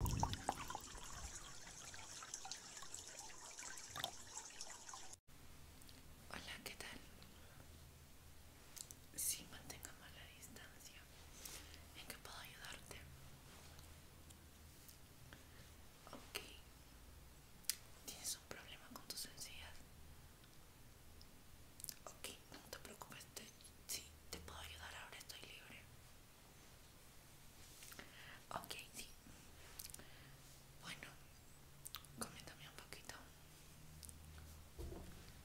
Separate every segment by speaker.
Speaker 1: Hola, ¿qué tal? Sí, mantengamos la distancia. ¿En qué puedo ayudarte? Ok. ¿Tienes un problema con tus encías? Ok, no te preocupes. sí, te puedo ayudar ahora, estoy libre. Ok, sí. Bueno, coméntame un poquito.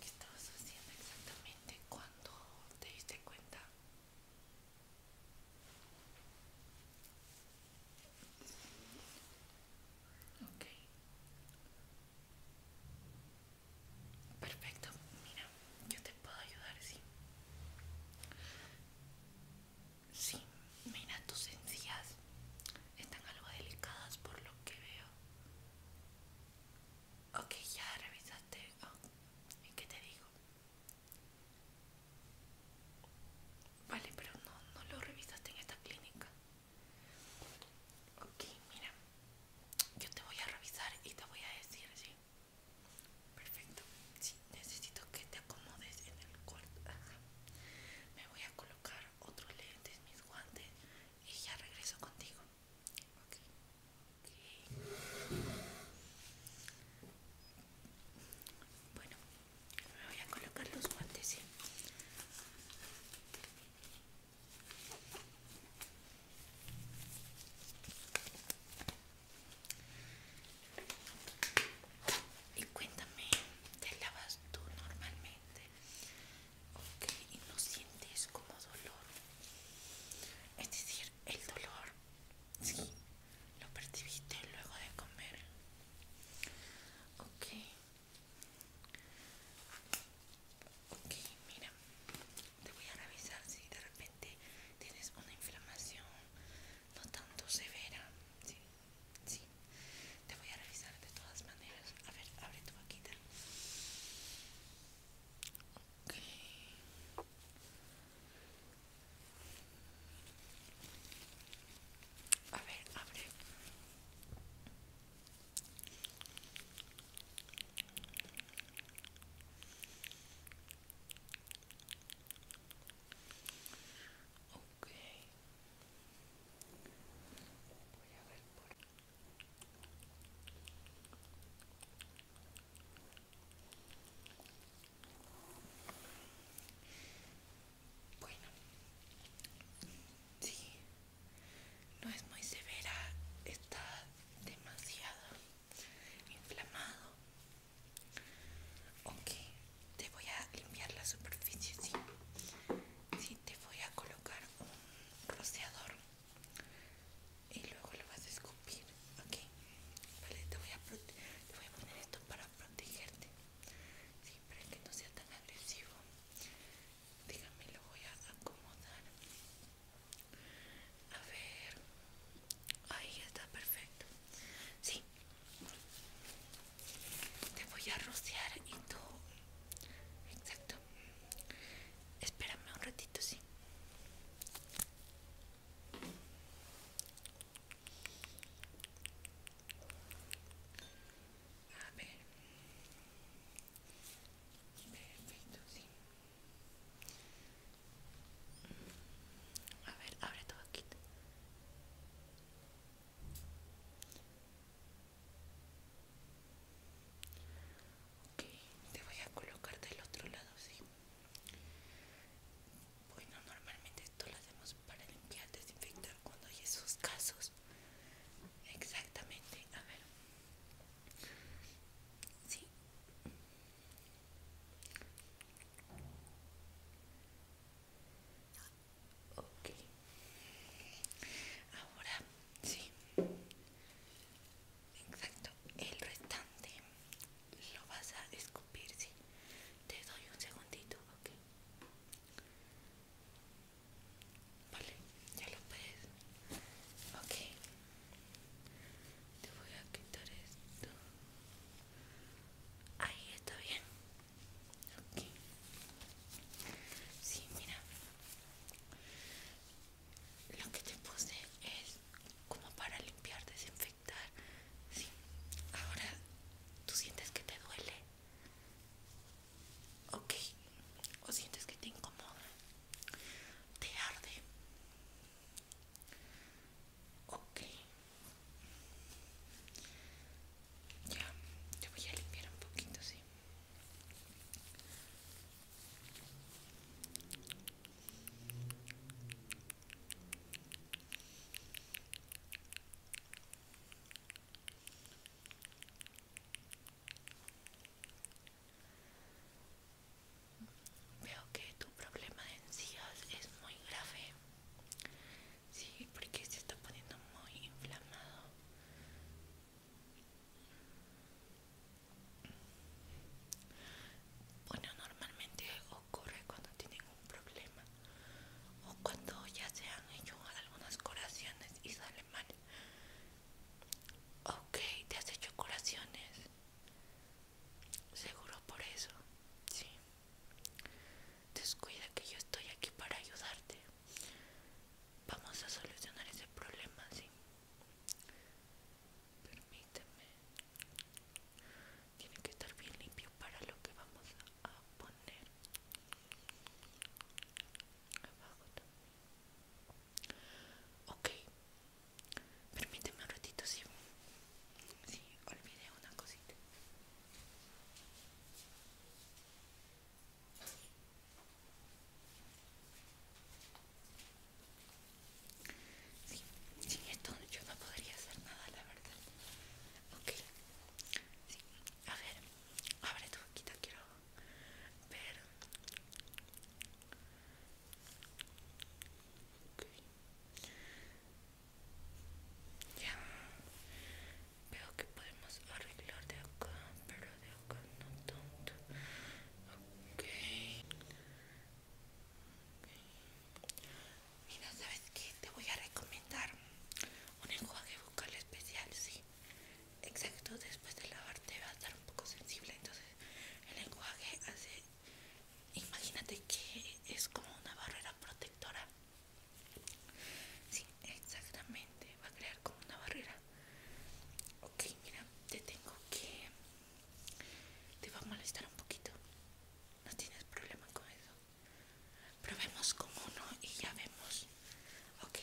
Speaker 1: ¿Qué estabas haciendo exactamente cuando te diste cuenta? Ok. Perfecto, mira yo te puedo ayudar, sí. Sí, mira, tus encías están algo delicadas por lo que veo. Ok, ya revisaste. Oh, ¿Y qué te digo? Vale, pero no, no lo revisaste en esta clínica. Ok, mira, yo te voy a revisar y te voy a decir, ¿sí? Perfecto, sí, necesito que te acomodes en el cuarto. Me voy a colocar otros lentes, mis guantes y ya regreso contigo. Bueno, me voy a colocar los guantes, y cuéntame, ¿te lavas tú normalmente? Ok, y no sientes como dolor. Es decir, el dolor, sí, lo percibiste luego de comer. Ok. Ok, mira, te voy a revisar si de repente tienes una inflamación no tanto severa, ¿sí? Sí, te voy a revisar de todas maneras. A ver, abre tu vaquita. Ok. A ver, abre. Okay. Bueno, sí, no es muy severa, está demasiado inflamado. Ok, te voy a limpiar la superficie, si te voy a colocar un rociador y luego lo vas a escupir, ok. Vale, te voy a, te voy a poner esto para protegerte, siempre que no sea tan agresivo. Dígame, lo voy a acomodar a ver, ahí está perfecto. Sí, te voy a rociar y tú, exacto. Espérame un ratito, sí. A ver. Perfecto, sí. A ver, abre todo aquí. Ok, te voy a colocar del otro lado, sí. Bueno, normalmente esto lo hacemos para limpiar, desinfectar cuando hay esos casos. Exactamente, a ver. Sí. okay Ahora, sí. Exacto. El restante lo vas a escupir, sí. Te doy un segundito, ok. Vale, ya lo puedes. Ok. Te voy a quitar esto. Ahí está bien. Ok. Sí, mira. Lo que te puse es como para limpiar, desinfectar. Sí. Ahora, ¿tú sientes que te duele? Ok. ¿O sientes que te incomoda? te arde ok ya te voy a limpiar un poquito sí Veo que tu problema de encías es muy grave. Sí, porque se está poniendo muy inflamado. Bueno, normalmente ocurre cuando tienen un problema o cuando ya se han hecho algunas curaciones y sale mal. Ok, te has hecho curaciones. Seguro por eso. Sí. Descuida que yo estoy aquí para ayudarte. Vamos a solucionar ese problema, sí. Permíteme. Tiene que estar bien limpio para lo que vamos a poner. Abajo también. Ok, permíteme un ratito si, olvidé una cosita. Sí, sin esto yo no podría hacer nada, la verdad. Ok, sí, a ver, abre tu boquita, quiero pero ya veo que podemos arreglar de acá pero de acá no tanto okay. y mira sabes qué? te voy a recomendar un enjuague vocal especial sí Exacto, después de lavarte va a estar un poco sensible, entonces el lenguaje hace... Imagínate que es como una barrera protectora. Sí, exactamente, va a crear como una barrera. Ok, mira, te tengo que... Te va a molestar un poquito. No tienes problema con eso. Probemos como uno y ya vemos. Ok,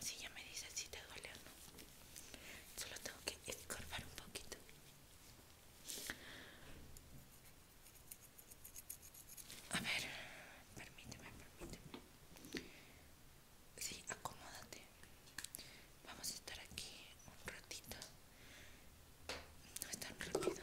Speaker 1: si ya me dices si te duele o no. Solo tengo que escorpar un poquito. A ver, permíteme, permíteme. Sí, acomódate. Vamos a estar aquí un ratito. No es tan rápido.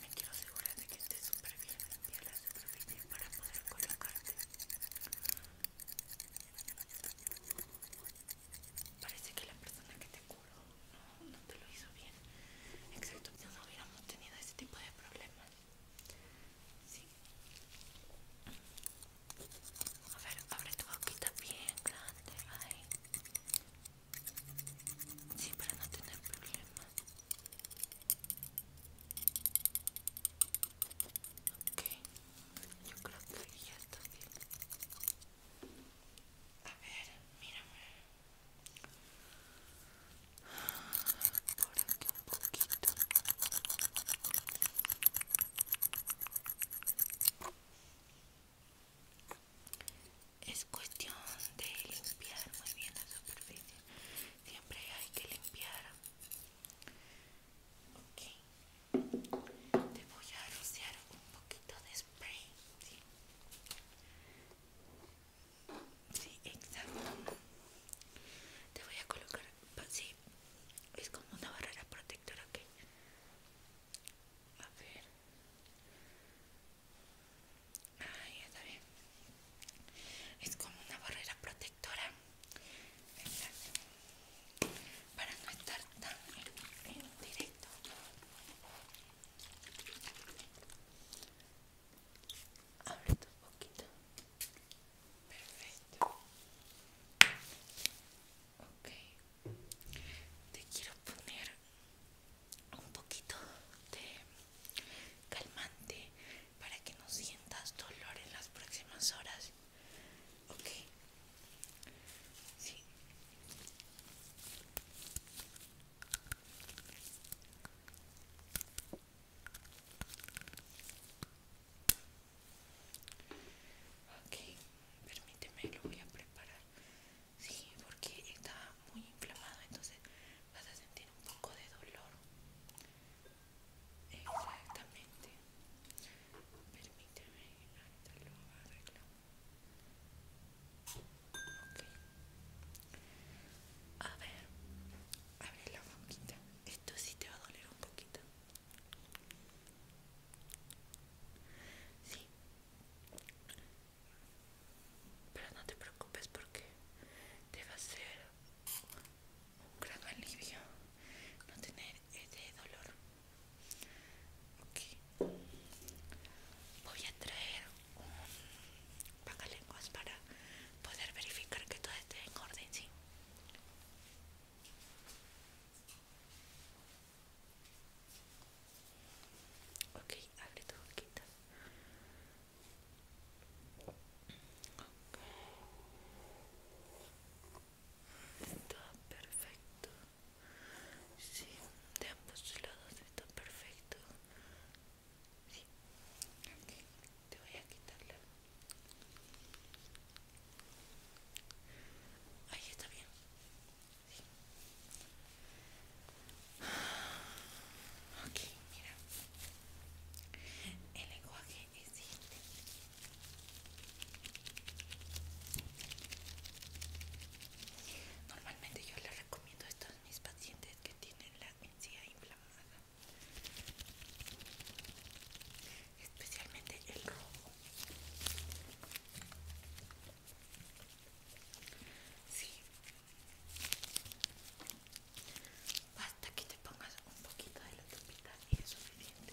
Speaker 1: Me quiero asegurar de que esté súper bien limpia la superficie para poder colocarte. Parece que la persona que te curó no, te lo hizo bien. Exacto, que no hubiéramos tenido ese tipo de problemas. A ver, abre tu boquita bien grande. Sí, para no tener problemas. Ok, yo creo que ya está bien. A ver, mírame. Por aquí un poquito es cuestión de limpiar muy bien la superficie siempre hay que limpiar ok te voy a rociar un poquito de spray sí, sí exacto te voy a colocar sí es como una barrera protectora ok a ver Ah, ya está bien. Es como una barrera protectora para no estar tan en, directo. Abre tu poquito. Perfecto. Ok, te quiero poner un poquito de calmante para que no sientas dolor en las próximas horas ok sí Ok, permíteme, lo voy a preparar Sí, porque está muy inflamado, entonces vas a sentir un poco de dolor. Exactamente. Permíteme, ahorita lo arreglo A ver, abre la boquita. Esto sí te va a doler un poquito. Sí. Pero no te preocupes porque te va a ser un gran alivio no tener ese dolor. Voy a traer un pacalenguas para poder verificar que todo esté en orden, ¿sí? Ok, abre tu boquita. Okay. Está perfecto. Sí, de ambos lados está perfecto. Sí. Okay. Te voy a la Ahí está bien mira. El lenguaje es Normalmente yo les recomiendo a a mis pacientes que tienen la encía inflamada. Especialmente el rojo. Basta que te pongas un poquito de la tapita y es suficiente.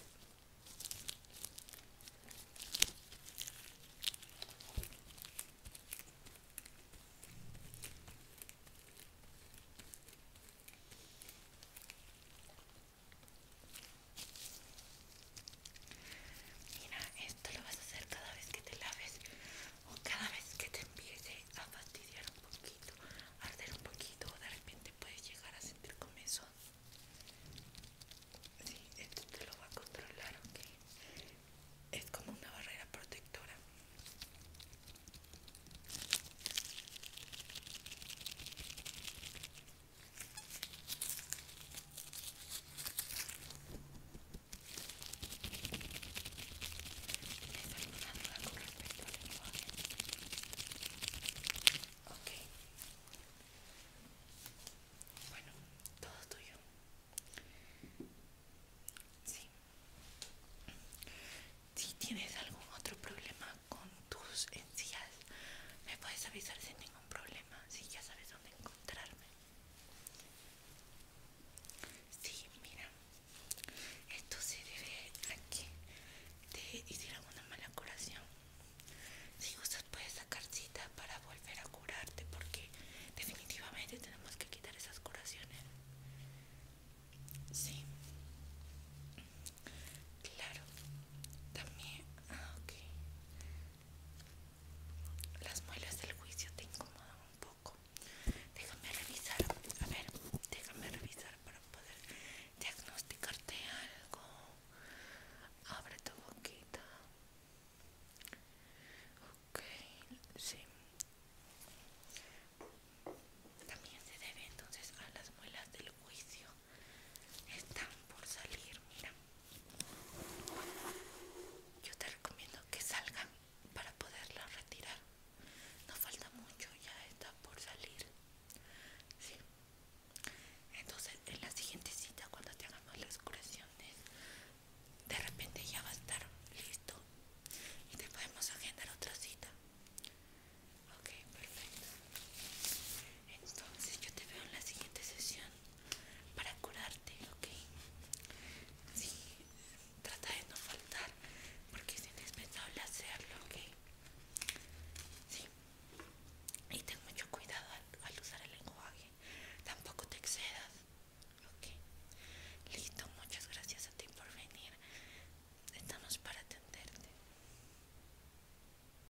Speaker 1: Mira, esto lo vas a hacer cada vez que te laves o cada vez que te empiece a fastidiar un poquito, a arder un poquito o de repente puedes llegar a sentir comezón. Sí, esto te lo va a controlar, ok. Es como una barrera protectora. ¿Tienes alguna duda con respecto al lenguaje? Ok. Bueno, todo tuyo. Sí. Si tienes algún otro problema con tus encías, me puedes avisar sin ningún un problema si ya sabes dónde encontrarme. si, mira, esto se debe a que te hicieron una mala curación. Si usted puede sacar cita para volver a curarte porque definitivamente tenemos que quitar esas curaciones. Sí. Claro. También. Ah, ok. Las muelas del juicio te incomodan un poco. Déjame revisar. A ver, déjame revisar para poder diagnosticarte algo. Abre tu boquita. Ok, sí. También se debe entonces a las muelas del juicio están por salir mira yo te recomiendo que salgan para poderla retirar no falta mucho ya está por salir entonces en la siguiente cita cuando te hagamos las curaciones de repente ya va a estar listo y te podemos agendar otra cita ok perfecto entonces yo te veo en la siguiente sesión para curarte, ¿ok? Sí, trata de no faltar porque es indispensable hacerlo, ¿ok? Sí. Y ten mucho cuidado al, usar el lenguaje. Tampoco te excedas. Ok. Listo, muchas gracias a ti por venir. Estamos para atenderte.